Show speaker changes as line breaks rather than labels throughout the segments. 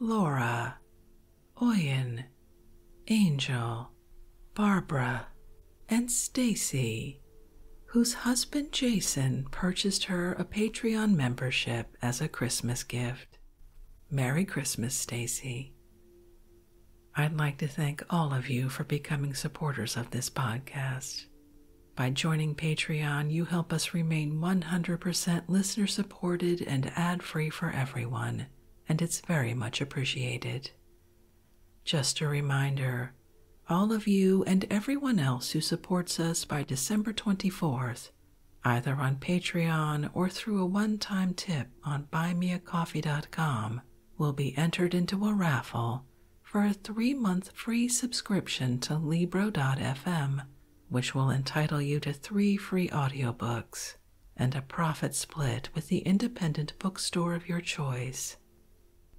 Laura, Oyen, Angel, Barbara, and Stacy, whose husband Jason purchased her a Patreon membership as a Christmas gift. Merry Christmas, Stacy. I'd like to thank all of you for becoming supporters of this podcast. By joining Patreon, you help us remain 100% listener supported supported and ad free for everyone, and it's very much appreciated. Just a reminder all of you and everyone else who supports us by December 24th, either on Patreon or through a one time tip on buymeacoffee.com, will be entered into a raffle for a three month free subscription to Libro.fm which will entitle you to three free audiobooks and a profit split with the independent bookstore of your choice.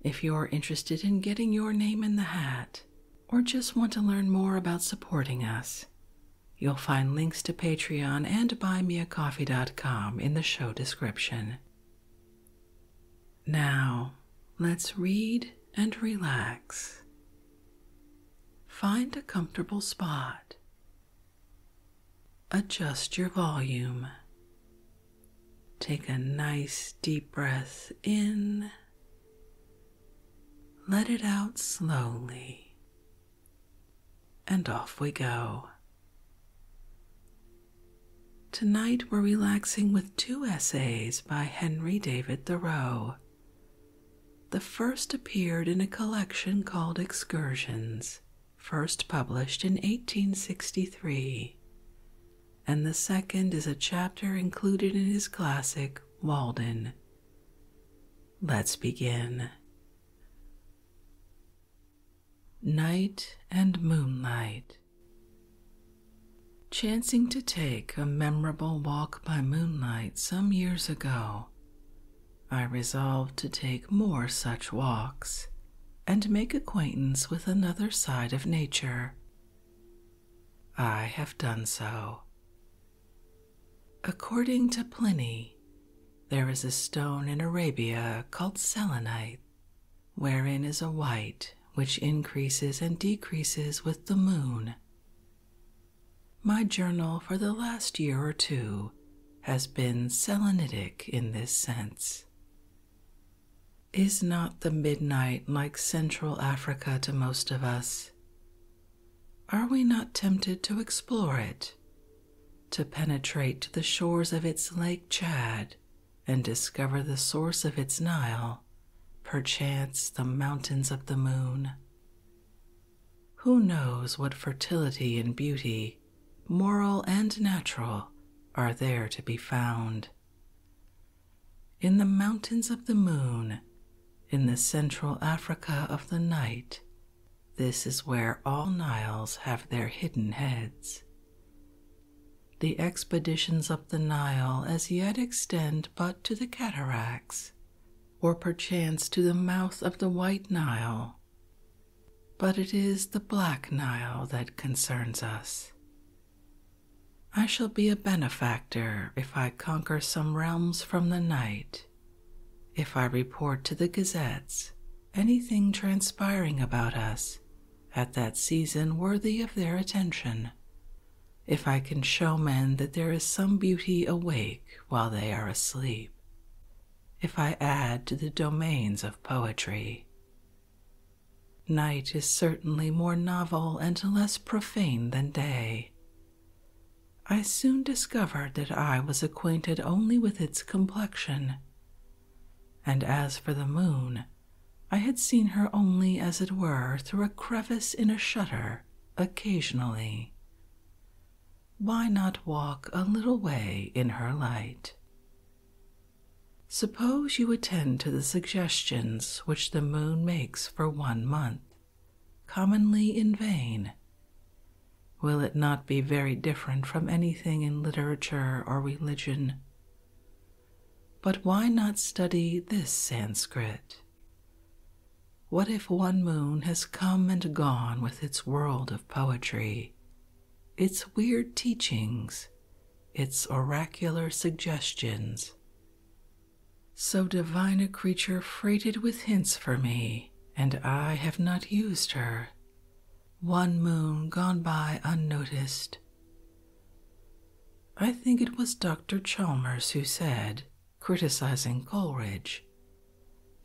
If you're interested in getting your name in the hat or just want to learn more about supporting us, you'll find links to Patreon and buymeacoffee.com in the show description. Now, let's read and relax Find a comfortable spot. Adjust your volume. Take a nice deep breath in. Let it out slowly. And off we go. Tonight we're relaxing with two essays by Henry David Thoreau the first appeared in a collection called Excursions, first published in 1863, and the second is a chapter included in his classic Walden. Let's begin. Night and Moonlight. Chancing to take a memorable walk by moonlight some years ago, I resolved to take more such walks and make acquaintance with another side of nature. I have done so. According to Pliny, there is a stone in Arabia called selenite, wherein is a white which increases and decreases with the moon, my journal for the last year or two has been Selenitic in this sense. Is not the midnight like Central Africa to most of us? Are we not tempted to explore it, to penetrate to the shores of its Lake Chad and discover the source of its Nile, perchance the mountains of the moon? Who knows what fertility and beauty, moral and natural, are there to be found? In the mountains of the moon, in the central Africa of the night, this is where all Niles have their hidden heads. The expeditions up the Nile as yet extend but to the cataracts, or perchance to the mouth of the White Nile. But it is the Black Nile that concerns us. I shall be a benefactor if I conquer some realms from the night, if I report to the gazettes anything transpiring about us at that season worthy of their attention, if I can show men that there is some beauty awake while they are asleep, if I add to the domains of poetry. Night is certainly more novel and less profane than day. I soon discovered that I was acquainted only with its complexion, and as for the moon, I had seen her only, as it were, through a crevice in a shutter occasionally. Why not walk a little way in her light? Suppose you attend to the suggestions which the moon makes for one month, commonly in vain. Will it not be very different from anything in literature or religion? But why not study this Sanskrit? What if one moon has come and gone with its world of poetry, its weird teachings, its oracular suggestions? So divine a creature freighted with hints for me, and I have not used her. One moon gone by unnoticed. I think it was Dr. Chalmers who said criticizing Coleridge,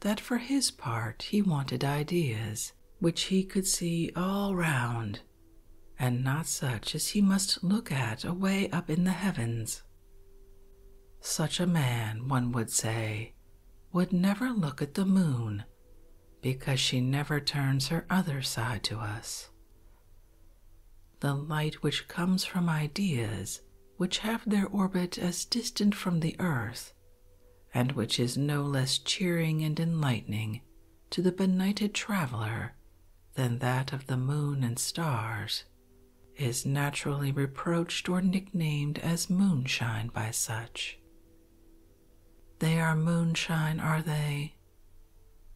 that for his part he wanted ideas which he could see all round, and not such as he must look at away up in the heavens. Such a man, one would say, would never look at the moon because she never turns her other side to us. The light which comes from ideas which have their orbit as distant from the earth, and which is no less cheering and enlightening to the benighted traveler than that of the moon and stars, is naturally reproached or nicknamed as moonshine by such. They are moonshine, are they?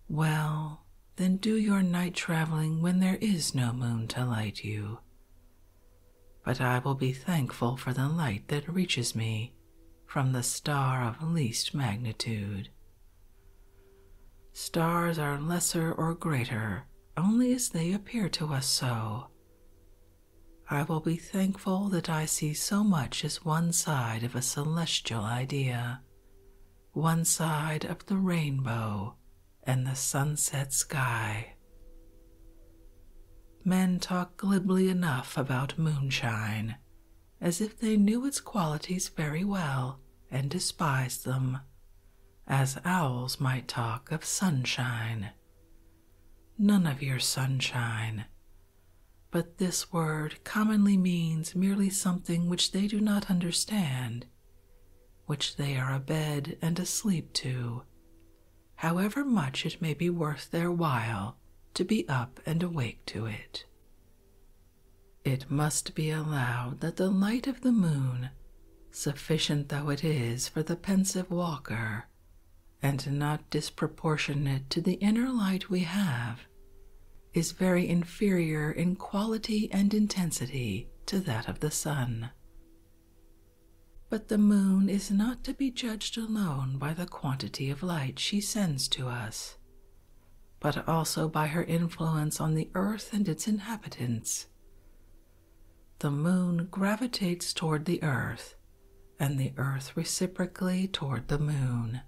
Well, then do your night traveling when there is no moon to light you. But I will be thankful for the light that reaches me from the star of least magnitude. Stars are lesser or greater only as they appear to us so. I will be thankful that I see so much as one side of a celestial idea, one side of the rainbow and the sunset sky. Men talk glibly enough about moonshine, as if they knew its qualities very well and despised them, as owls might talk of sunshine. None of your sunshine. But this word commonly means merely something which they do not understand which they are abed and asleep to, however much it may be worth their while to be up and awake to it. It must be allowed that the light of the moon, sufficient though it is for the pensive walker, and not disproportionate to the inner light we have, is very inferior in quality and intensity to that of the sun. But the moon is not to be judged alone by the quantity of light she sends to us, but also by her influence on the earth and its inhabitants. The moon gravitates toward the earth, and the earth reciprocally toward the moon.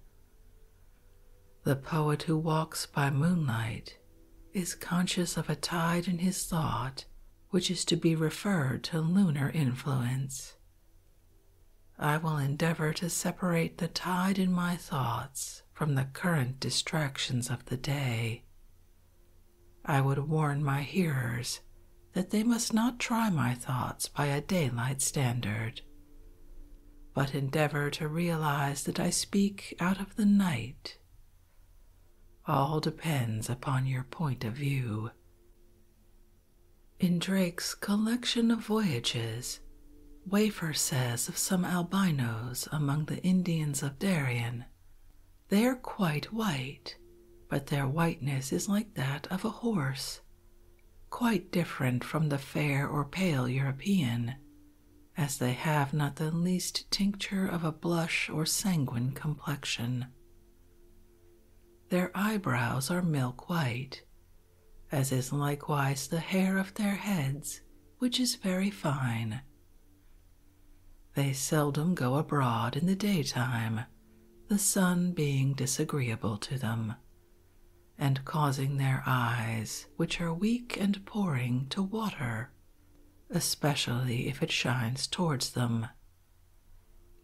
The poet who walks by moonlight is conscious of a tide in his thought which is to be referred to lunar influence. I will endeavor to separate the tide in my thoughts from the current distractions of the day. I would warn my hearers that they must not try my thoughts by a daylight standard, but endeavor to realize that I speak out of the night all depends upon your point of view. In Drake's collection of voyages, Wafer says of some albinos among the Indians of Darien, they are quite white, but their whiteness is like that of a horse, quite different from the fair or pale European, as they have not the least tincture of a blush or sanguine complexion. Their eyebrows are milk white, as is likewise the hair of their heads, which is very fine. They seldom go abroad in the daytime, the sun being disagreeable to them, and causing their eyes, which are weak and pouring, to water especially if it shines towards them.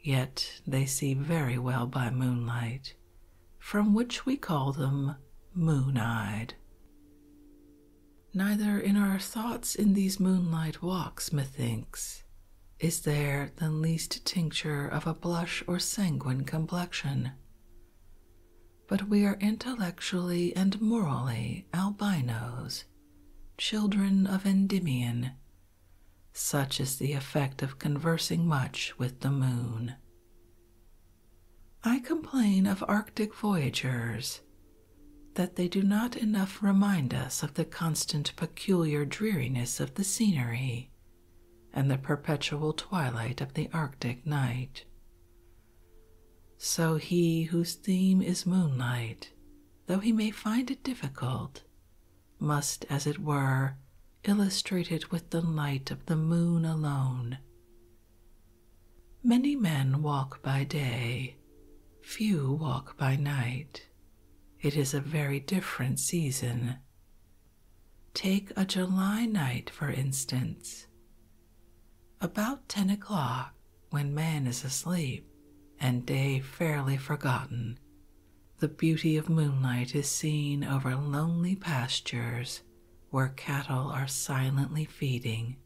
Yet they see very well by moonlight, from which we call them moon eyed. Neither in our thoughts in these moonlight walks, methinks, is there the least tincture of a blush or sanguine complexion but we are intellectually and morally albinos, children of Endymion. Such is the effect of conversing much with the moon. I complain of Arctic voyagers that they do not enough remind us of the constant peculiar dreariness of the scenery and the perpetual twilight of the Arctic night, so he whose theme is moonlight, though he may find it difficult, must, as it were, illustrate it with the light of the moon alone. Many men walk by day, few walk by night. It is a very different season. Take a July night, for instance. About ten o'clock, when man is asleep and day fairly forgotten, the beauty of moonlight is seen over lonely pastures where cattle are silently feeding.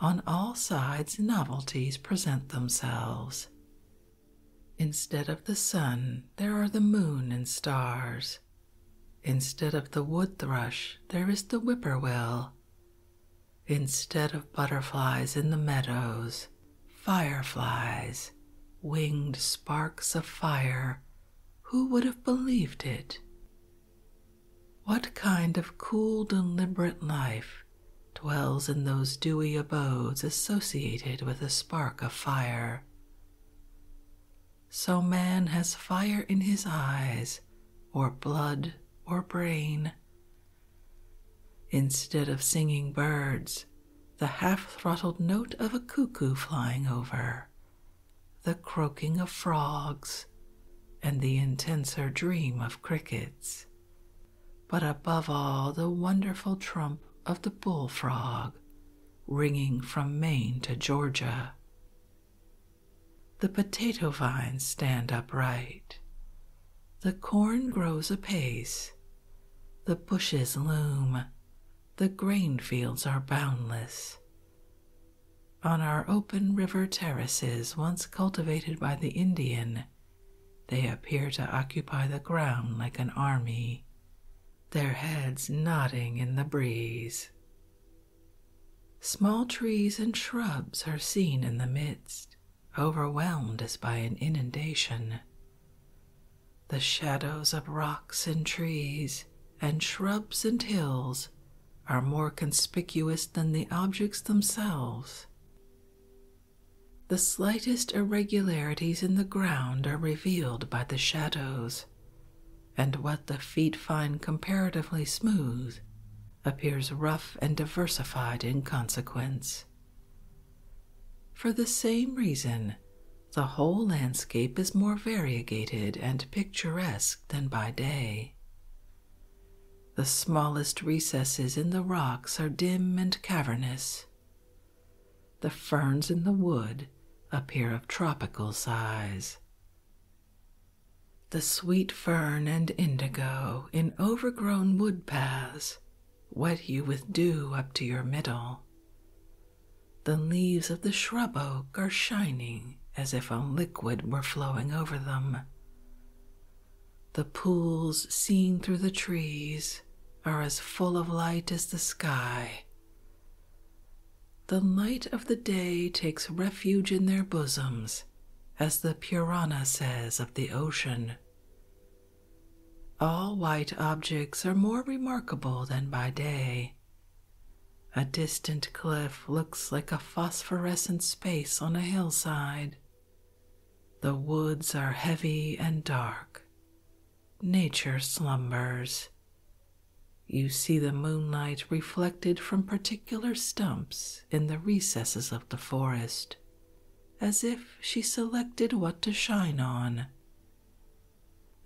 On all sides, novelties present themselves. Instead of the sun, there are the moon and stars. Instead of the wood thrush, there is the whippoorwill, Instead of butterflies in the meadows, fireflies, winged sparks of fire, who would have believed it? What kind of cool, deliberate life dwells in those dewy abodes associated with a spark of fire? So man has fire in his eyes or blood or brain. Instead of singing birds, the half throttled note of a cuckoo flying over, the croaking of frogs, and the intenser dream of crickets, but above all the wonderful trump of the bullfrog ringing from Maine to Georgia. The potato vines stand upright. The corn grows apace. The bushes loom. The grain fields are boundless. On our open river terraces, once cultivated by the Indian, they appear to occupy the ground like an army, their heads nodding in the breeze. Small trees and shrubs are seen in the midst, overwhelmed as by an inundation. The shadows of rocks and trees and shrubs and hills are more conspicuous than the objects themselves. The slightest irregularities in the ground are revealed by the shadows, and what the feet find comparatively smooth appears rough and diversified in consequence. For the same reason, the whole landscape is more variegated and picturesque than by day. The smallest recesses in the rocks are dim and cavernous. The ferns in the wood appear of tropical size, the sweet fern and indigo in overgrown wood paths wet you with dew up to your middle. The leaves of the shrub oak are shining as if a liquid were flowing over them. The pools seen through the trees are as full of light as the sky. The light of the day takes refuge in their bosoms, as the Purana says of the ocean. All white objects are more remarkable than by day. A distant cliff looks like a phosphorescent space on a hillside. The woods are heavy and dark. Nature slumbers. You see the moonlight reflected from particular stumps in the recesses of the forest, as if she selected what to shine on.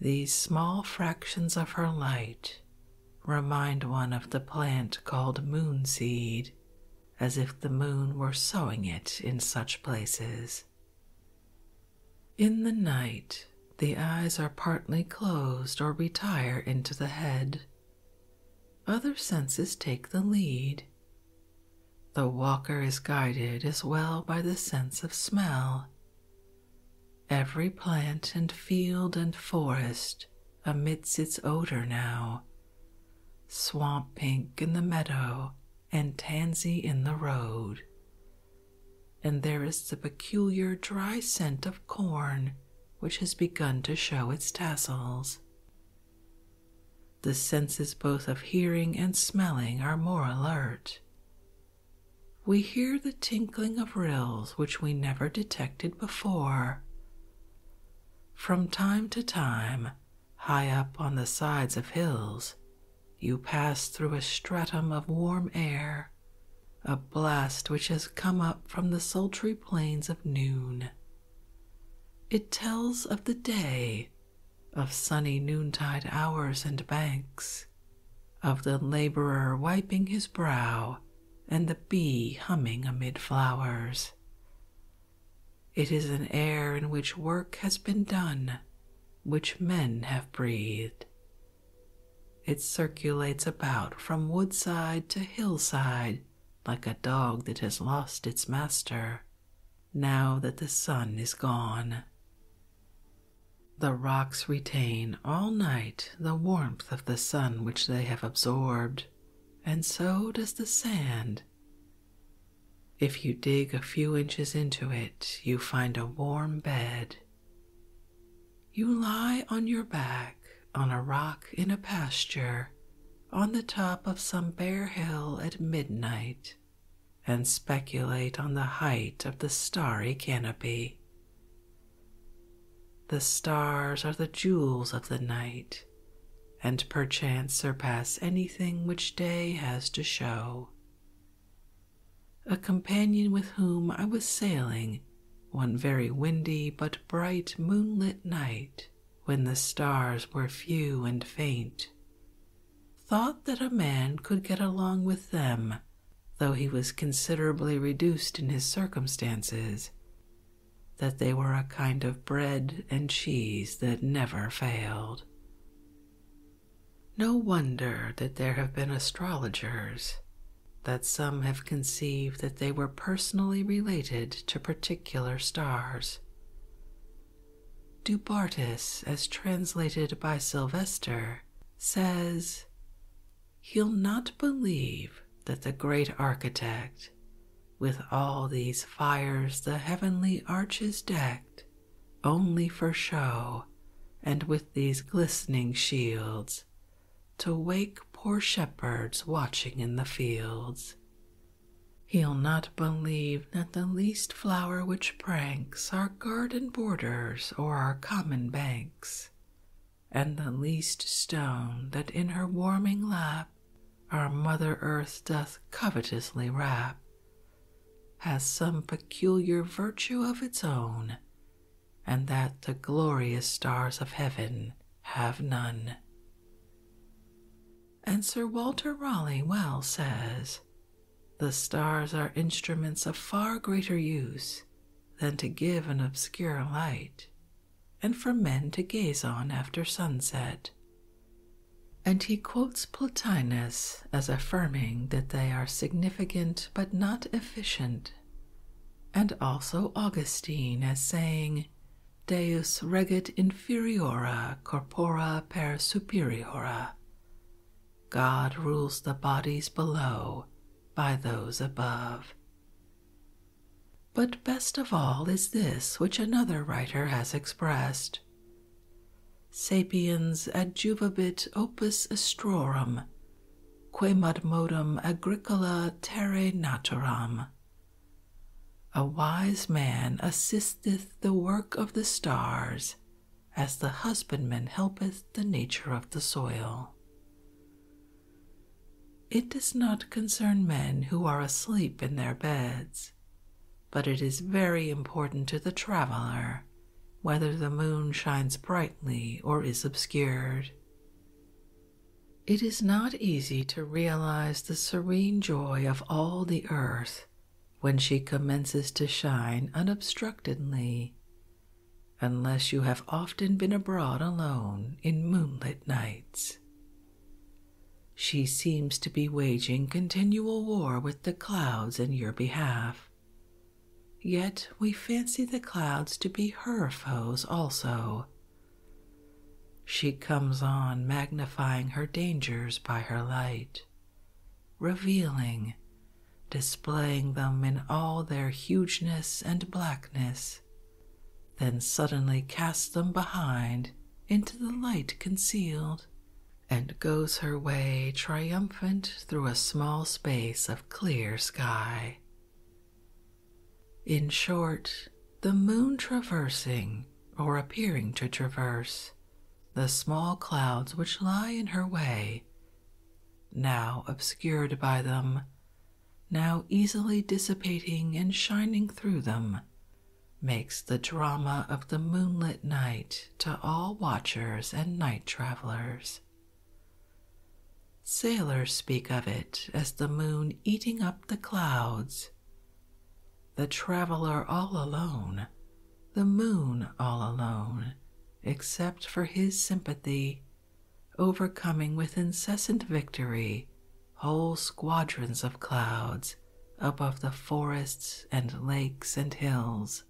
These small fractions of her light remind one of the plant called moonseed, as if the moon were sowing it in such places. In the night, the eyes are partly closed or retire into the head, other senses take the lead. The walker is guided as well by the sense of smell. Every plant and field and forest emits its odor now swamp pink in the meadow and tansy in the road. And there is the peculiar dry scent of corn which has begun to show its tassels. The senses both of hearing and smelling are more alert. We hear the tinkling of rills which we never detected before. From time to time, high up on the sides of hills, you pass through a stratum of warm air a blast which has come up from the sultry plains of noon. It tells of the day, of sunny noontide hours and banks, of the laborer wiping his brow and the bee humming amid flowers. It is an air in which work has been done, which men have breathed. It circulates about from woodside to hillside like a dog that has lost its master, now that the sun is gone. The rocks retain all night the warmth of the sun which they have absorbed, and so does the sand. If you dig a few inches into it, you find a warm bed. You lie on your back on a rock in a pasture on the top of some bare hill at midnight and speculate on the height of the starry canopy. The stars are the jewels of the night, and perchance surpass anything which day has to show. A companion with whom I was sailing one very windy but bright moonlit night when the stars were few and faint, thought that a man could get along with them, though he was considerably reduced in his circumstances, that they were a kind of bread and cheese that never failed. No wonder that there have been astrologers that some have conceived that they were personally related to particular stars. Dubartas, as translated by Sylvester, says, He'll not believe that the great architect, with all these fires the heavenly arches decked, only for show, and with these glistening shields, to wake poor shepherds watching in the fields. He'll not believe that the least flower which pranks our garden borders or our common banks, and the least stone that in her warming lap our Mother Earth doth covetously wrap, has some peculiar virtue of its own and that the glorious stars of heaven have none. And Sir Walter Raleigh well says, The stars are instruments of far greater use than to give an obscure light, and for men to gaze on after sunset. And he quotes Plotinus as affirming that they are significant but not efficient, and also Augustine as saying, Deus regit inferiora corpora per superiora. God rules the bodies below by those above. But best of all is this which another writer has expressed Sapiens adjuvabit opus astrorum, quemod modum agricola terre naturam. A wise man assisteth the work of the stars, as the husbandman helpeth the nature of the soil. It does not concern men who are asleep in their beds, but it is very important to the traveller whether the moon shines brightly or is obscured. It is not easy to realize the serene joy of all the earth when she commences to shine unobstructedly, unless you have often been abroad alone in moonlit nights. She seems to be waging continual war with the clouds in your behalf. Yet we fancy the clouds to be her foes also, she comes on magnifying her dangers by her light, revealing, displaying them in all their hugeness and blackness, then suddenly casts them behind into the light concealed, and goes her way triumphant through a small space of clear sky. In short, the moon traversing, or appearing to traverse, the small clouds which lie in her way, now obscured by them, now easily dissipating and shining through them, makes the drama of the moonlit night to all watchers and night travelers. Sailors speak of it as the moon eating up the clouds. The traveler all alone, the moon all alone, except for his sympathy, overcoming with incessant victory whole squadrons of clouds above the forests and lakes and hills.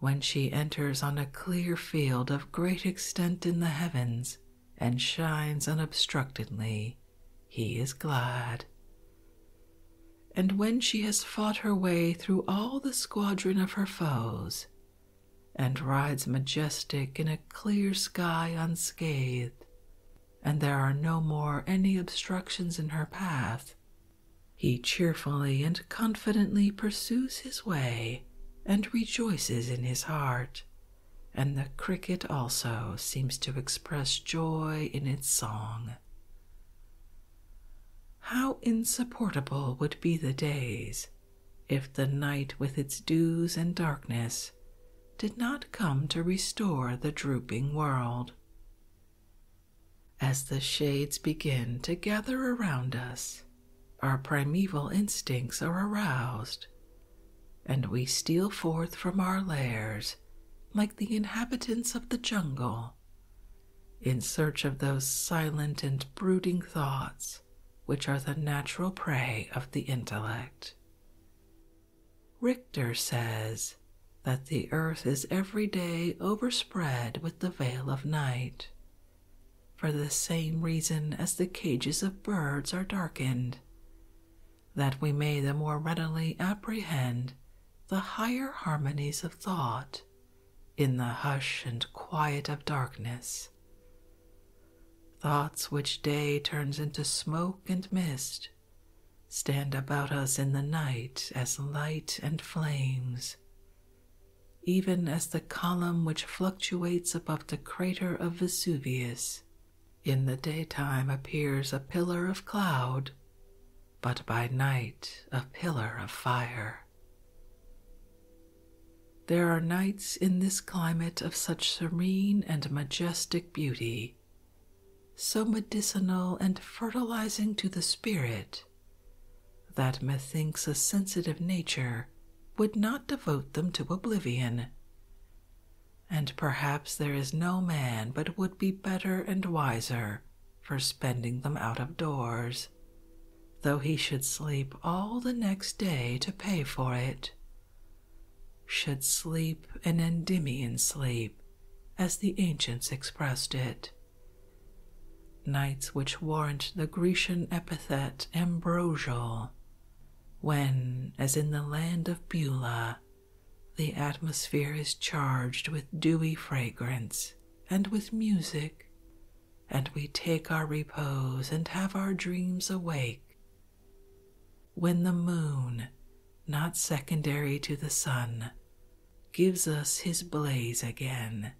When she enters on a clear field of great extent in the heavens, and shines unobstructedly, he is glad. And when she has fought her way through all the squadron of her foes, and rides majestic in a clear sky unscathed, and there are no more any obstructions in her path, he cheerfully and confidently pursues his way and rejoices in his heart and the cricket also seems to express joy in its song. How insupportable would be the days if the night with its dews and darkness did not come to restore the drooping world. As the shades begin to gather around us, our primeval instincts are aroused, and we steal forth from our lairs like the inhabitants of the jungle in search of those silent and brooding thoughts which are the natural prey of the intellect. Richter says that the earth is every day overspread with the veil of night, for the same reason as the cages of birds are darkened, that we may the more readily apprehend the higher harmonies of thought in the hush and quiet of darkness. Thoughts which day turns into smoke and mist stand about us in the night as light and flames, even as the column which fluctuates above the crater of Vesuvius. In the daytime appears a pillar of cloud, but by night a pillar of fire. There are nights in this climate of such serene and majestic beauty, so medicinal and fertilizing to the spirit, that methinks a sensitive nature would not devote them to oblivion. And perhaps there is no man but would be better and wiser for spending them out of doors, though he should sleep all the next day to pay for it. Should sleep an Endymion sleep, as the ancients expressed it. Nights which warrant the Grecian epithet ambrosial when, as in the land of Beulah, the atmosphere is charged with dewy fragrance and with music, and we take our repose and have our dreams awake. When the moon, not secondary to the sun, gives us his blaze again,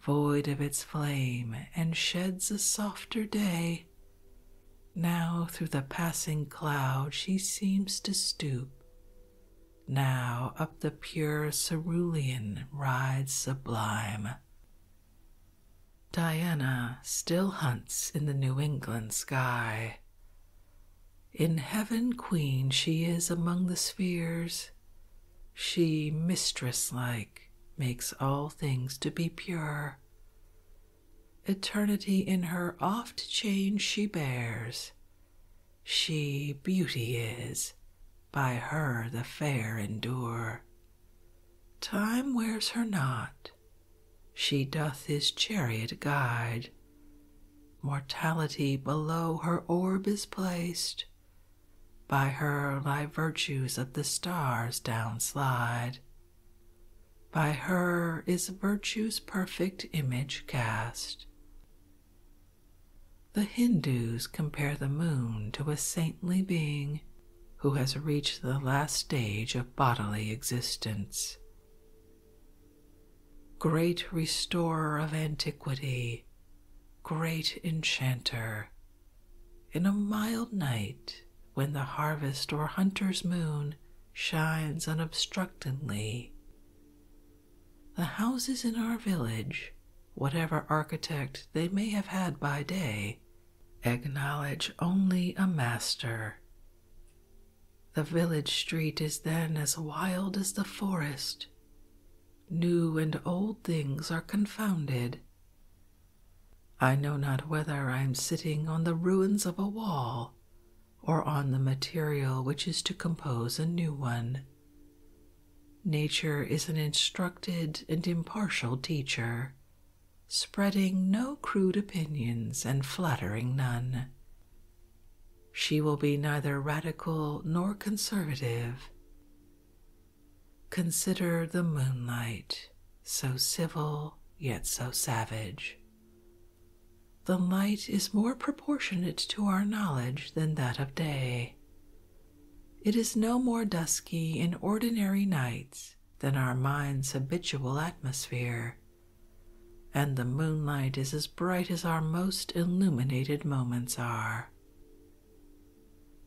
void of its flame, and sheds a softer day now, through the passing cloud, she seems to stoop. Now, up the pure cerulean rides sublime. Diana still hunts in the New England sky. In heaven, queen, she is among the spheres. She, mistress like, makes all things to be pure. Eternity in her oft change she bears. She beauty is, by her the fair endure. Time wears her not, she doth his chariot guide. Mortality below her orb is placed, by her lie virtues of the stars down slide. By her is virtue's perfect image cast. The Hindus compare the moon to a saintly being who has reached the last stage of bodily existence. Great restorer of antiquity, great enchanter, in a mild night, when the harvest or hunter's moon shines unobstructedly, the houses in our village, whatever architect they may have had by day, acknowledge only a master. The village street is then as wild as the forest. New and old things are confounded, I know not whether I am sitting on the ruins of a wall or on the material which is to compose a new one. Nature is an instructed and impartial teacher, spreading no crude opinions and flattering none. She will be neither radical nor conservative. Consider the moonlight, so civil yet so savage. The light is more proportionate to our knowledge than that of day. It is no more dusky in ordinary nights than our mind's habitual atmosphere, and the moonlight is as bright as our most illuminated moments are.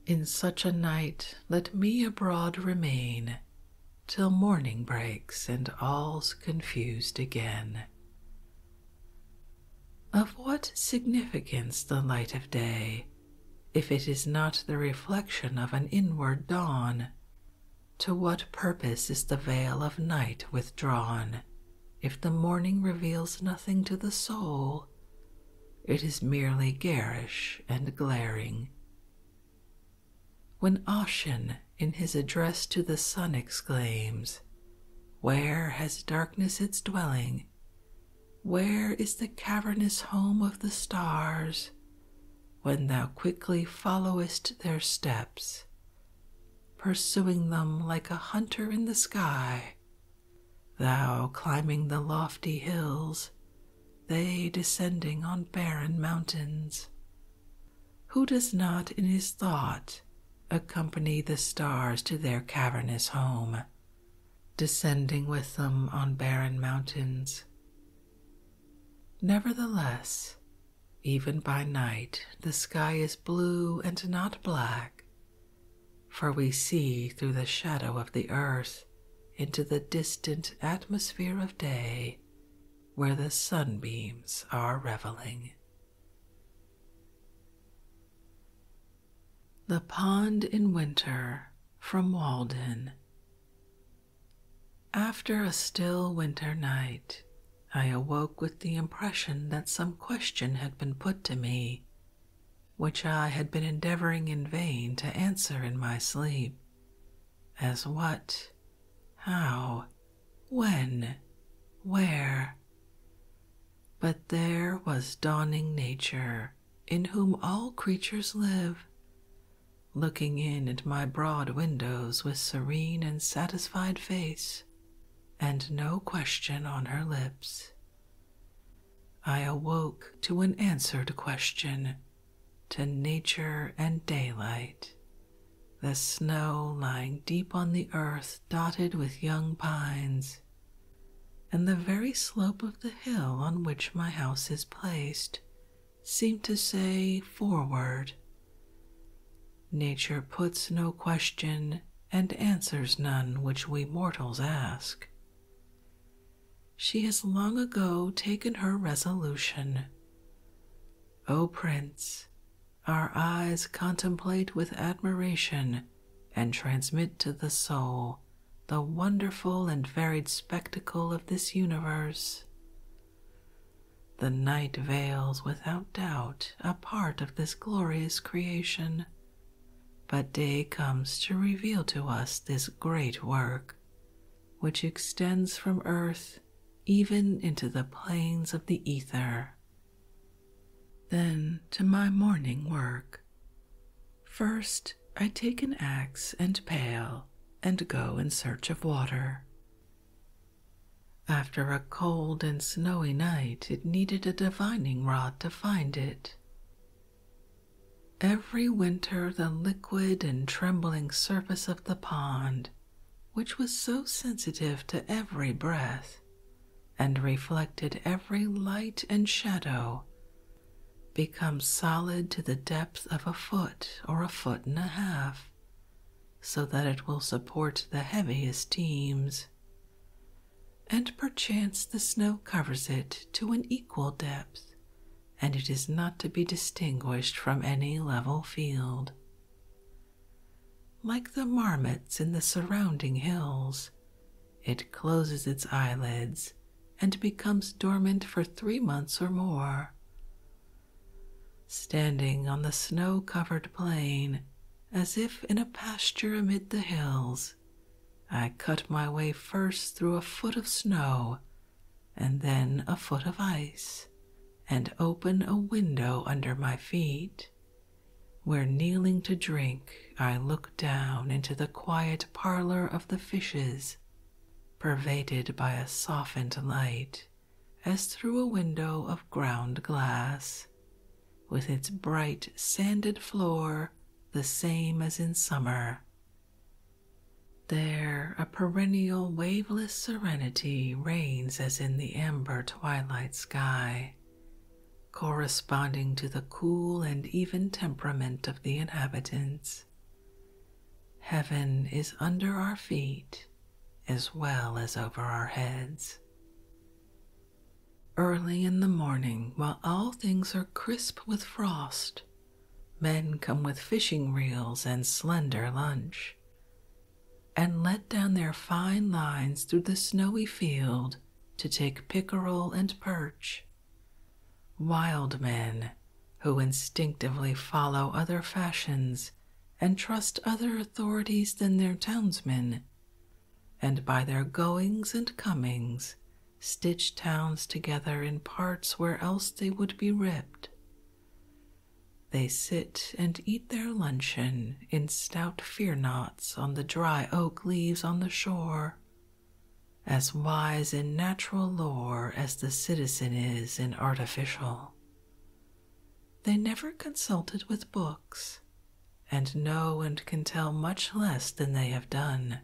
In such a night let me abroad remain, Till morning breaks and all's confused again. Of what significance the light of day, if it is not the reflection of an inward dawn? To what purpose is the veil of night withdrawn? If the morning reveals nothing to the soul, it is merely garish and glaring, when Ossian, in his address to the sun, exclaims, Where has darkness its dwelling? Where is the cavernous home of the stars? When thou quickly followest their steps, pursuing them like a hunter in the sky, thou climbing the lofty hills, they descending on barren mountains. Who does not in his thought accompany the stars to their cavernous home, descending with them on barren mountains? Nevertheless, even by night the sky is blue and not black, for we see through the shadow of the earth into the distant atmosphere of day where the sunbeams are reveling. The Pond in Winter from Walden. After a still winter night, I awoke with the impression that some question had been put to me, which I had been endeavoring in vain to answer in my sleep. As what? How? When? Where? But there was dawning nature, in whom all creatures live, looking in at my broad windows with serene and satisfied face, and no question on her lips. I awoke to an answered question to nature and daylight, the snow lying deep on the earth, dotted with young pines, and the very slope of the hill on which my house is placed seemed to say forward. Nature puts no question and answers none which we mortals ask. She has long ago taken her resolution. O Prince, our eyes contemplate with admiration and transmit to the soul the wonderful and varied spectacle of this universe. The night veils without doubt a part of this glorious creation, but day comes to reveal to us this great work, which extends from earth even into the plains of the ether. Then to my morning work. First, I take an axe and pail and go in search of water. After a cold and snowy night, it needed a divining rod to find it. Every winter, the liquid and trembling surface of the pond, which was so sensitive to every breath and reflected every light and shadow, becomes solid to the depth of a foot or a foot and a half, so that it will support the heaviest teams. And perchance the snow covers it to an equal depth and it is not to be distinguished from any level field. Like the marmots in the surrounding hills, it closes its eyelids and becomes dormant for three months or more. Standing on the snow covered plain, as if in a pasture amid the hills, I cut my way first through a foot of snow and then a foot of ice, and open a window under my feet, where kneeling to drink, I look down into the quiet parlor of the fishes, pervaded by a softened light as through a window of ground glass, with its bright sanded floor the same as in summer, there, a perennial waveless serenity reigns as in the amber twilight sky, corresponding to the cool and even temperament of the inhabitants. Heaven is under our feet as well as over our heads. Early in the morning, while all things are crisp with frost, Men come with fishing reels and slender lunch, and let down their fine lines through the snowy field to take pickerel and perch. Wild men who instinctively follow other fashions and trust other authorities than their townsmen, and by their goings and comings stitch towns together in parts where else they would be ripped. They sit and eat their luncheon in stout fear knots on the dry oak leaves on the shore, as wise in natural lore as the citizen is in artificial. They never consulted with books, and know and can tell much less than they have done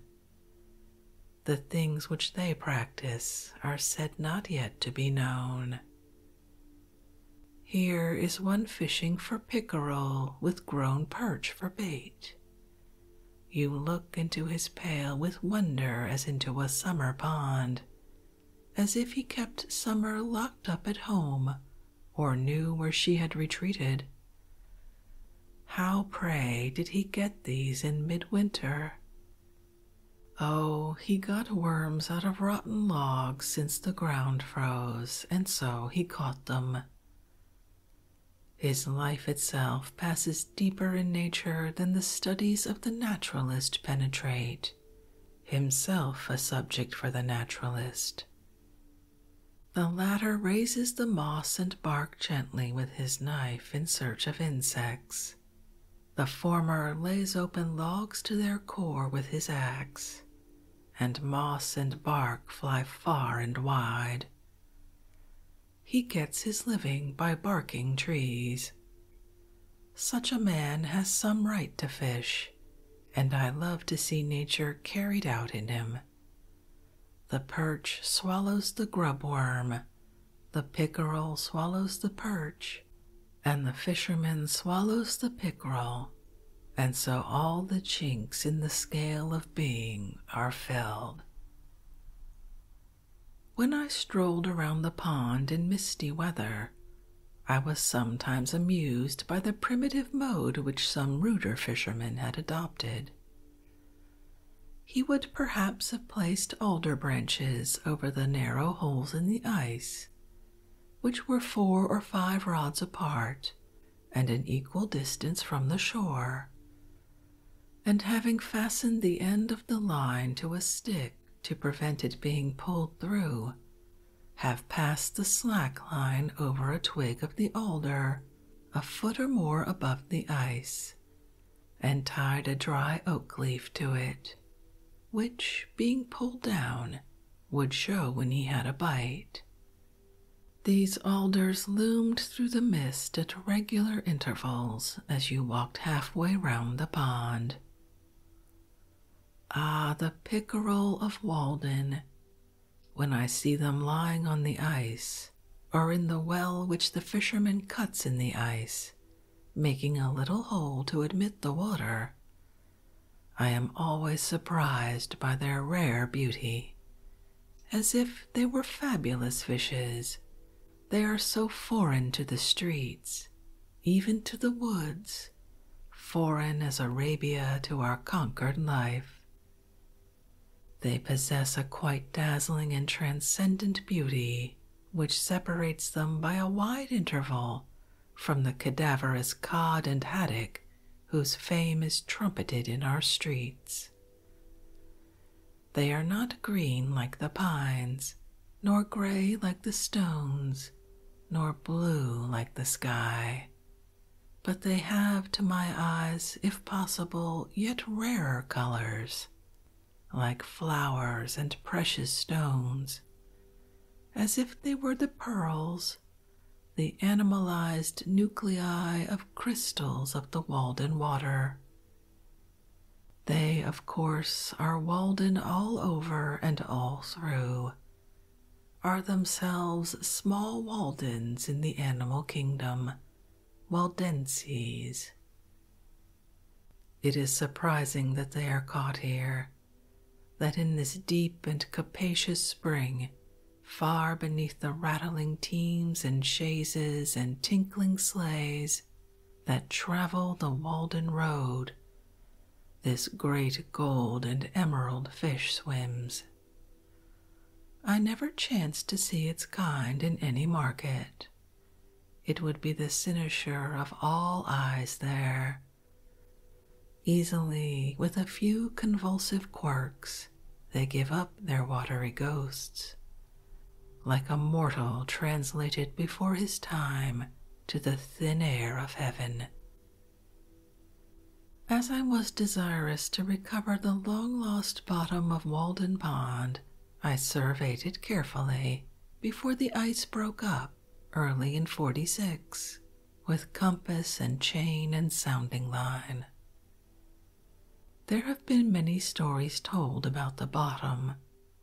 the things which they practice are said not yet to be known. Here is one fishing for pickerel with grown perch for bait. You look into his pail with wonder as into a summer pond, as if he kept summer locked up at home or knew where she had retreated. How, pray, did he get these in midwinter? Oh, he got worms out of rotten logs since the ground froze, and so he caught them. His life itself passes deeper in nature than the studies of the naturalist penetrate, himself a subject for the naturalist. The latter raises the moss and bark gently with his knife in search of insects. The former lays open logs to their core with his axe, and moss and bark fly far and wide. He gets his living by barking trees. Such a man has some right to fish, and I love to see nature carried out in him. The perch swallows the grub worm, the pickerel swallows the perch, and the fisherman swallows the pickerel, and so all the chinks in the scale of being are filled. When I strolled around the pond in misty weather, I was sometimes amused by the primitive mode which some ruder fishermen had adopted he would perhaps have placed alder branches over the narrow holes in the ice, which were four or five rods apart and an equal distance from the shore, and having fastened the end of the line to a stick to prevent it being pulled through, have passed the slack line over a twig of the alder a foot or more above the ice and tied a dry oak leaf to it, which, being pulled down, would show when he had a bite. These alders loomed through the mist at regular intervals as you walked half way round the pond. Ah, the pickerel of Walden! When I see them lying on the ice, or in the well which the fisherman cuts in the ice, making a little hole to admit the water. I am always surprised by their rare beauty, as if they were fabulous fishes. They are so foreign to the streets, even to the woods, foreign as Arabia to our conquered life. They possess a quite dazzling and transcendent beauty, which separates them by a wide interval from the cadaverous cod and haddock whose fame is trumpeted in our streets. They are not green like the pines, nor gray like the stones, nor blue like the sky, but they have to my eyes, if possible, yet rarer colors, like flowers and precious stones, as if they were the pearls, the animalized nuclei of crystals of the Walden water. They, of course, are Walden all over and all through, are themselves small Waldens in the animal kingdom, Waldenses. It is surprising that they are caught here, that in this deep and capacious spring, far beneath the rattling teams and chaises and tinkling sleighs that travel the Walden Road, this great gold and emerald fish swims. I never chanced to see its kind in any market. It would be the cynosure of all eyes there. Easily, with a few convulsive quirks, they give up their watery ghosts, like a mortal translated before his time to the thin air of heaven. As I was desirous to recover the long lost bottom of Walden Pond I surveyed it carefully before the ice broke up early in 46 with compass and chain and sounding line. There have been many stories told about the bottom,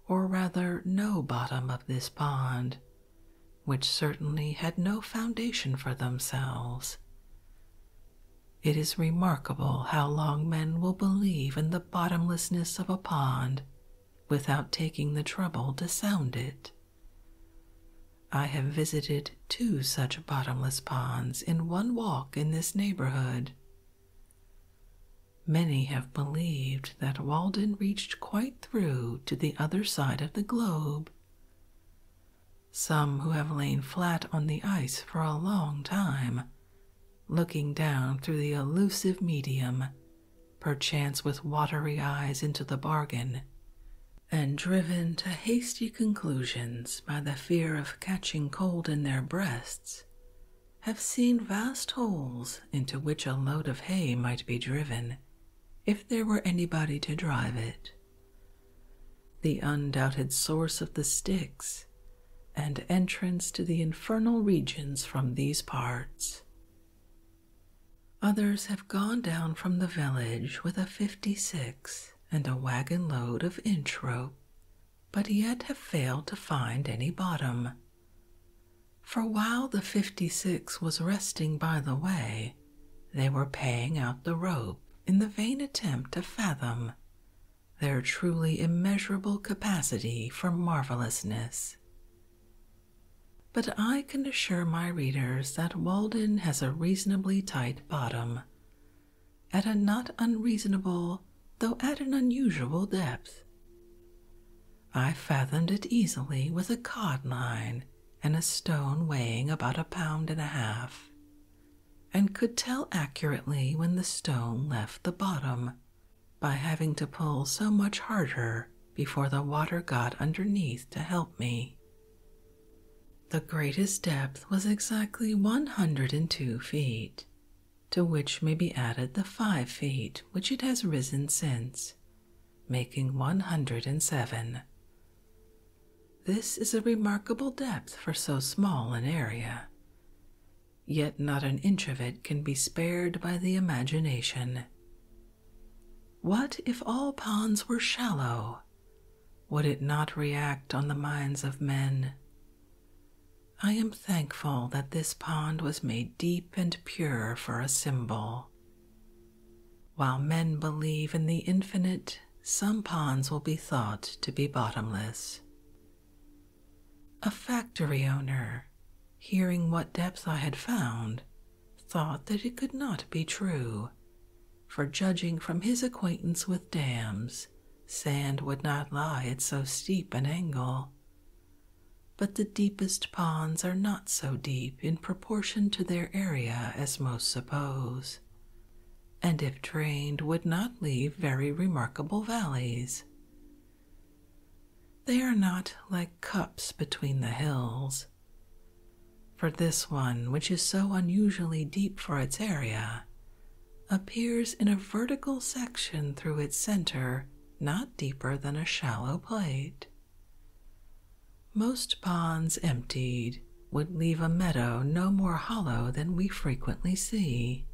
or rather, no bottom of this pond, which certainly had no foundation for themselves. It is remarkable how long men will believe in the bottomlessness of a pond without taking the trouble to sound it. I have visited two such bottomless ponds in one walk in this neighborhood. Many have believed that Walden reached quite through to the other side of the globe. Some who have lain flat on the ice for a long time looking down through the elusive medium, perchance with watery eyes into the bargain, and driven to hasty conclusions by the fear of catching cold in their breasts, have seen vast holes into which a load of hay might be driven if there were anybody to drive it. The undoubted source of the sticks and entrance to the infernal regions from these parts. Others have gone down from the village with a fifty six and a wagon load of inch rope, but yet have failed to find any bottom. For while the fifty six was resting by the way, they were paying out the rope in the vain attempt to fathom their truly immeasurable capacity for marvellousness. But I can assure my readers that Walden has a reasonably tight bottom, at a not unreasonable, though at an unusual depth. I fathomed it easily with a cod line and a stone weighing about a pound and a half, and could tell accurately when the stone left the bottom by having to pull so much harder before the water got underneath to help me. The greatest depth was exactly 102 feet, to which may be added the 5 feet which it has risen since, making 107. This is a remarkable depth for so small an area yet not an inch of it can be spared by the imagination. What if all ponds were shallow? Would it not react on the minds of men? I am thankful that this pond was made deep and pure for a symbol. While men believe in the infinite, some ponds will be thought to be bottomless, a factory owner, hearing what depths I had found, thought that it could not be true, for judging from his acquaintance with dams, sand would not lie at so steep an angle. But the deepest ponds are not so deep in proportion to their area as most suppose, and if drained would not leave very remarkable valleys. They are not like cups between the hills. For this one, which is so unusually deep for its area, appears in a vertical section through its center not deeper than a shallow plate. Most ponds emptied would leave a meadow no more hollow than we frequently see.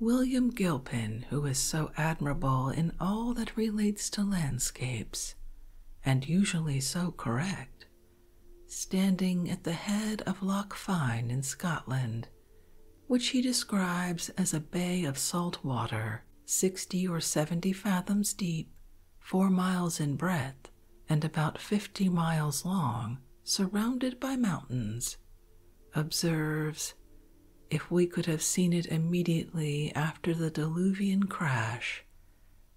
William Gilpin, who is so admirable in all that relates to landscapes, and usually so correct, standing at the head of Loch Fyne in Scotland, which he describes as a bay of salt water, sixty or seventy fathoms deep, four miles in breadth, and about fifty miles long, surrounded by mountains, observes if we could have seen it immediately after the diluvian crash,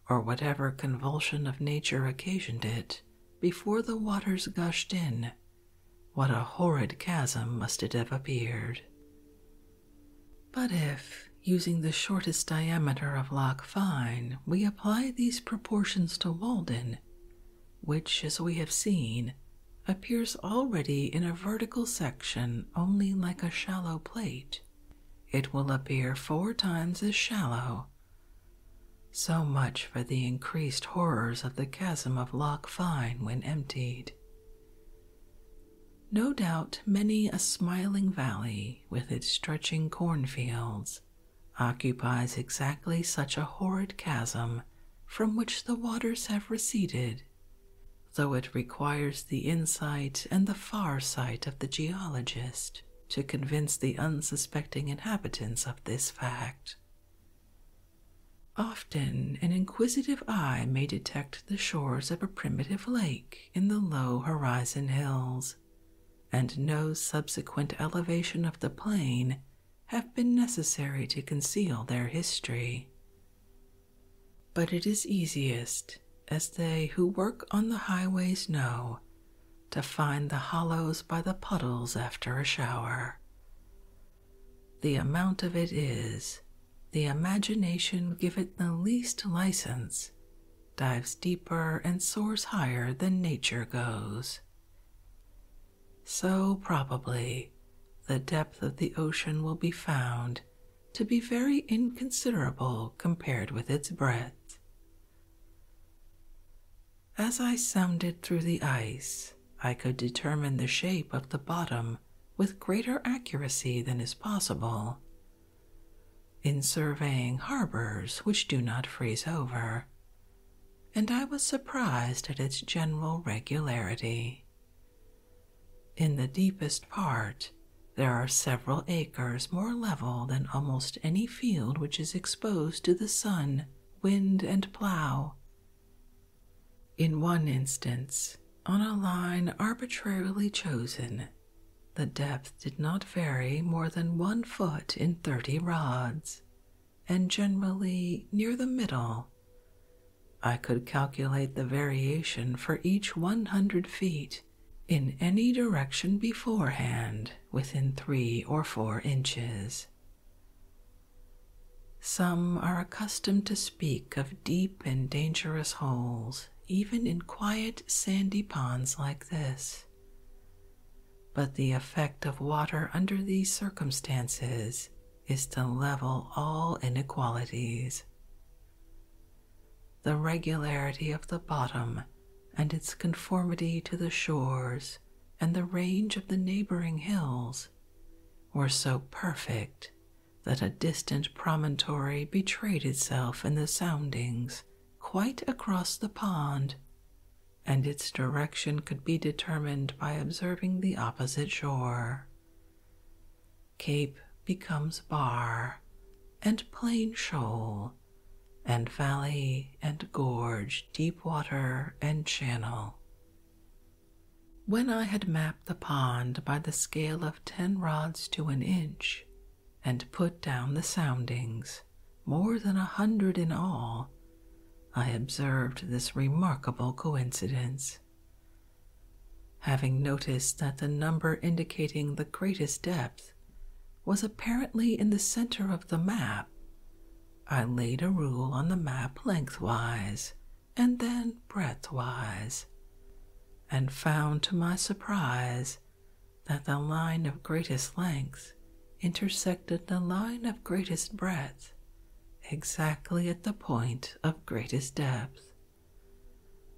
or whatever convulsion of nature occasioned it, before the waters gushed in, what a horrid chasm must it have appeared. But if, using the shortest diameter of Loch Fine, we apply these proportions to Walden, which, as we have seen, appears already in a vertical section only like a shallow plate, it will appear four times as shallow. So much for the increased horrors of the chasm of Loch Fyne when emptied. No doubt many a smiling valley, with its stretching cornfields, occupies exactly such a horrid chasm from which the waters have receded, though it requires the insight and the far sight of the geologist to convince the unsuspecting inhabitants of this fact. Often an inquisitive eye may detect the shores of a primitive lake in the low horizon hills, and no subsequent elevation of the plain have been necessary to conceal their history. But it is easiest, as they who work on the highways know, to find the hollows by the puddles after a shower. The amount of it is, the imagination give it the least license, dives deeper and soars higher than nature goes so probably the depth of the ocean will be found to be very inconsiderable compared with its breadth. As I sounded through the ice, I could determine the shape of the bottom with greater accuracy than is possible. In surveying harbors which do not freeze over, and I was surprised at its general regularity. In the deepest part, there are several acres more level than almost any field which is exposed to the sun, wind, and plow. In one instance, on a line arbitrarily chosen, the depth did not vary more than one foot in thirty rods, and generally near the middle. I could calculate the variation for each 100 feet in any direction beforehand within three or four inches. Some are accustomed to speak of deep and dangerous holes, even in quiet sandy ponds like this but the effect of water under these circumstances is to level all inequalities. The regularity of the bottom and its conformity to the shores and the range of the neighboring hills were so perfect that a distant promontory betrayed itself in the soundings quite across the pond, and its direction could be determined by observing the opposite shore. Cape becomes bar, and plain shoal, and valley and gorge, deep water and channel. When I had mapped the pond by the scale of ten rods to an inch, and put down the soundings, more than a hundred in all, I observed this remarkable coincidence. Having noticed that the number indicating the greatest depth was apparently in the center of the map, I laid a rule on the map lengthwise and then breadthwise, and found to my surprise that the line of greatest length intersected the line of greatest breadth exactly at the point of greatest depth.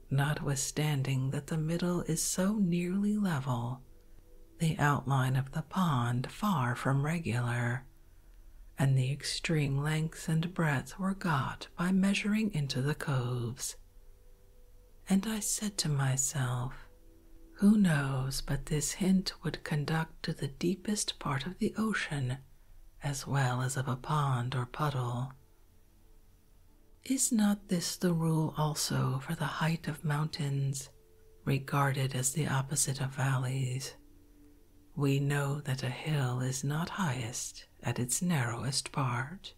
Notwithstanding that the middle is so nearly level, the outline of the pond far from regular, and the extreme length and breadth were got by measuring into the coves. And I said to myself, who knows but this hint would conduct to the deepest part of the ocean as well as of a pond or puddle? Is not this the rule also for the height of mountains, regarded as the opposite of valleys? We know that a hill is not highest at its narrowest part.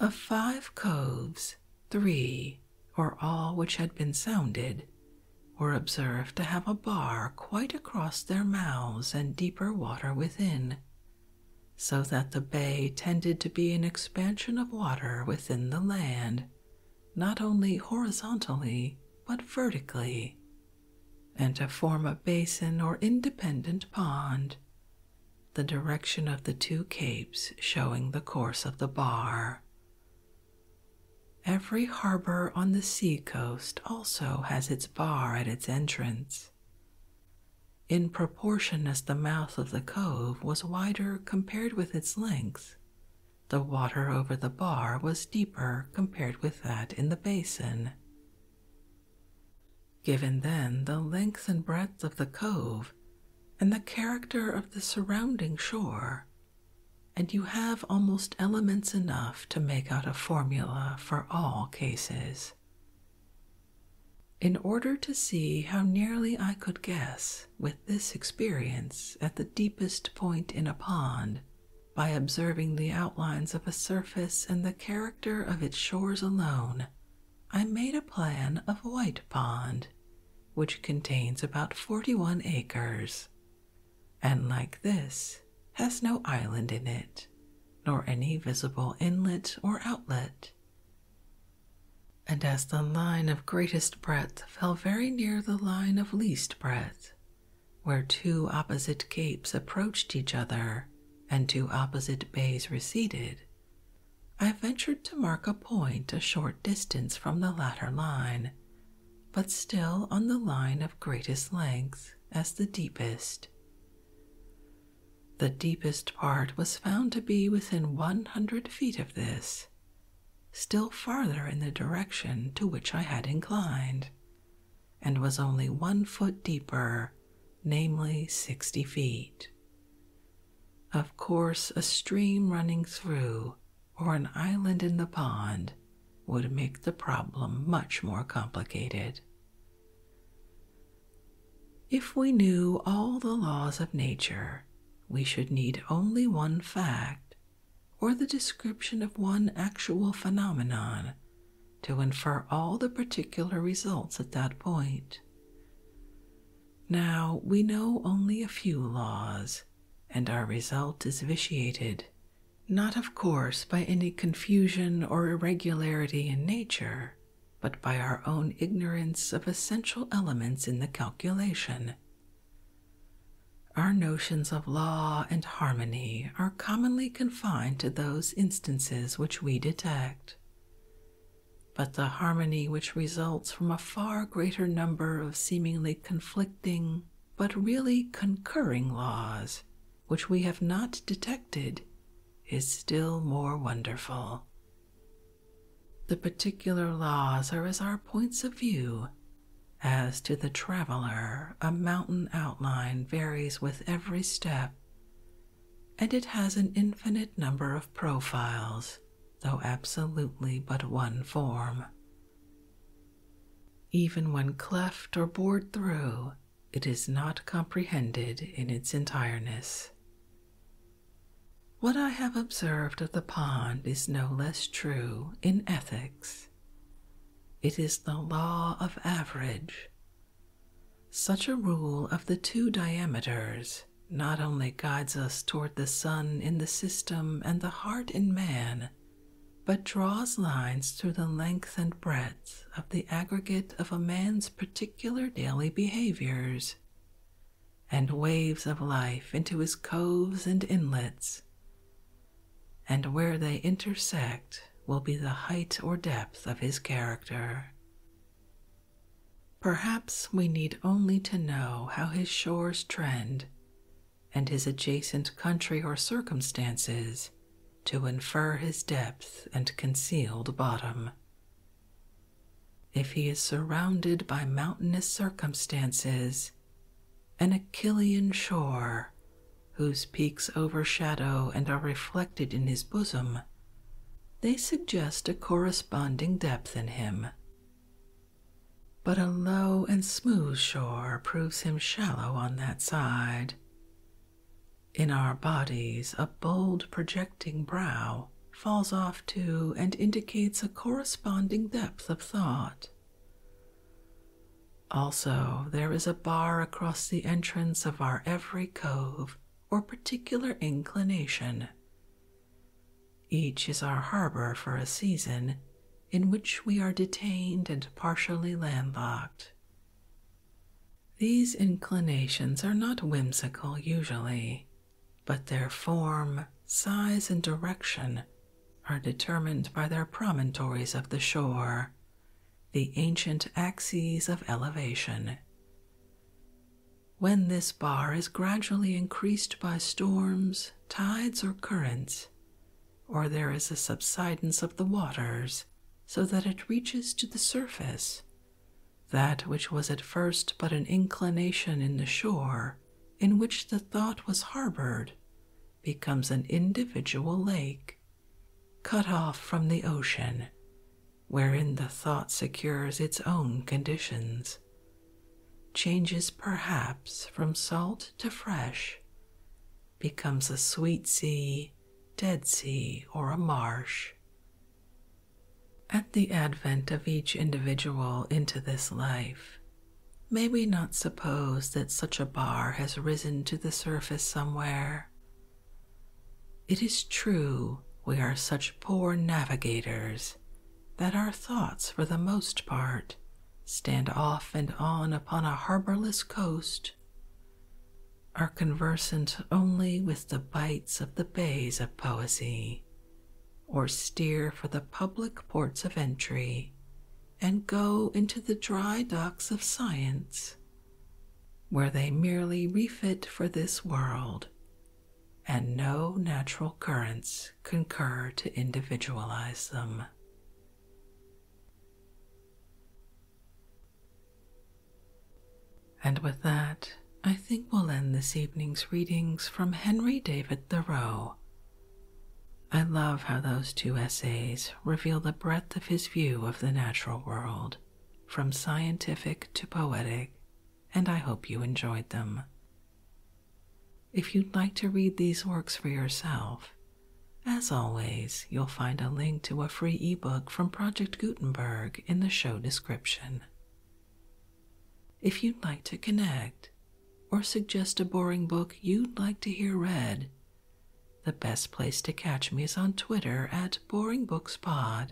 Of five coves, Three, or all which had been sounded, were observed to have a bar quite across their mouths and deeper water within, so that the bay tended to be an expansion of water within the land, not only horizontally but vertically, and to form a basin or independent pond, the direction of the two capes showing the course of the bar. Every harbor on the sea coast also has its bar at its entrance. In proportion as the mouth of the cove was wider compared with its length, the water over the bar was deeper compared with that in the basin. Given then the length and breadth of the cove and the character of the surrounding shore, and you have almost elements enough to make out a formula for all cases. In order to see how nearly I could guess with this experience at the deepest point in a pond, by observing the outlines of a surface and the character of its shores alone, I made a plan of White Pond, which contains about 41 acres, and like this, has no island in it, nor any visible inlet or outlet. And as the line of greatest breadth fell very near the line of least breadth, where two opposite capes approached each other and two opposite bays receded, I ventured to mark a point a short distance from the latter line but still on the line of greatest length as the deepest. The deepest part was found to be within 100 feet of this, still farther in the direction to which I had inclined, and was only one foot deeper, namely 60 feet. Of course, a stream running through or an island in the pond would make the problem much more complicated. If we knew all the laws of nature, we should need only one fact or the description of one actual phenomenon to infer all the particular results at that point. Now we know only a few laws, and our result is vitiated, not of course by any confusion or irregularity in nature, but by our own ignorance of essential elements in the calculation. Our notions of law and harmony are commonly confined to those instances which we detect. But the harmony which results from a far greater number of seemingly conflicting but really concurring laws, which we have not detected, is still more wonderful. The particular laws are as our points of view. As to the traveler, a mountain outline varies with every step, and it has an infinite number of profiles though absolutely but one form. Even when cleft or bored through, it is not comprehended in its entireness. What I have observed of the pond is no less true in ethics. It is the law of average. Such a rule of the two diameters not only guides us toward the sun in the system and the heart in man, but draws lines through the length and breadth of the aggregate of a man's particular daily behaviors and waves of life into his coves and inlets, and where they intersect will be the height or depth of his character. Perhaps we need only to know how his shores trend and his adjacent country or circumstances to infer his depth and concealed bottom. If he is surrounded by mountainous circumstances, an Achillean shore, whose peaks overshadow and are reflected in his bosom, they suggest a corresponding depth in him. But a low and smooth shore proves him shallow on that side. In our bodies, a bold projecting brow falls off too and indicates a corresponding depth of thought. Also, there is a bar across the entrance of our every cove or particular inclination, each is our harbor for a season in which we are detained and partially landlocked. These inclinations are not whimsical usually, but their form, size, and direction are determined by their promontories of the shore, the ancient axes of elevation. When this bar is gradually increased by storms, tides, or currents, or there is a subsidence of the waters so that it reaches to the surface. That which was at first but an inclination in the shore, in which the thought was harbored, becomes an individual lake, cut off from the ocean, wherein the thought secures its own conditions, changes perhaps from salt to fresh, becomes a sweet sea, dead sea, or a marsh. At the advent of each individual into this life, may we not suppose that such a bar has risen to the surface somewhere? It is true we are such poor navigators that our thoughts, for the most part, stand off and on upon a harborless coast, are conversant only with the bites of the bays of poesy, or steer for the public ports of entry, and go into the dry docks of science, where they merely refit for this world, and no natural currents concur to individualize them. And with that, I think we'll end this evening's readings from Henry David Thoreau. I love how those two essays reveal the breadth of his view of the natural world, from scientific to poetic, and I hope you enjoyed them. If you'd like to read these works for yourself, as always, you'll find a link to a free ebook from Project Gutenberg in the show description. If you'd like to connect or suggest a boring book you'd like to hear read, the best place to catch me is on Twitter at BoringBooksPod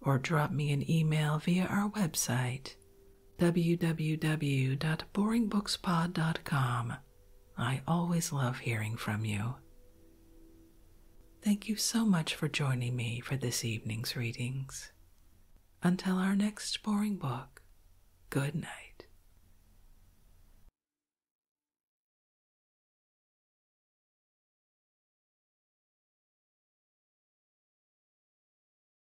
or drop me an email via our website www.boringbookspod.com. I always love hearing from you. Thank you so much for joining me for this evening's readings. Until our next boring book, good night.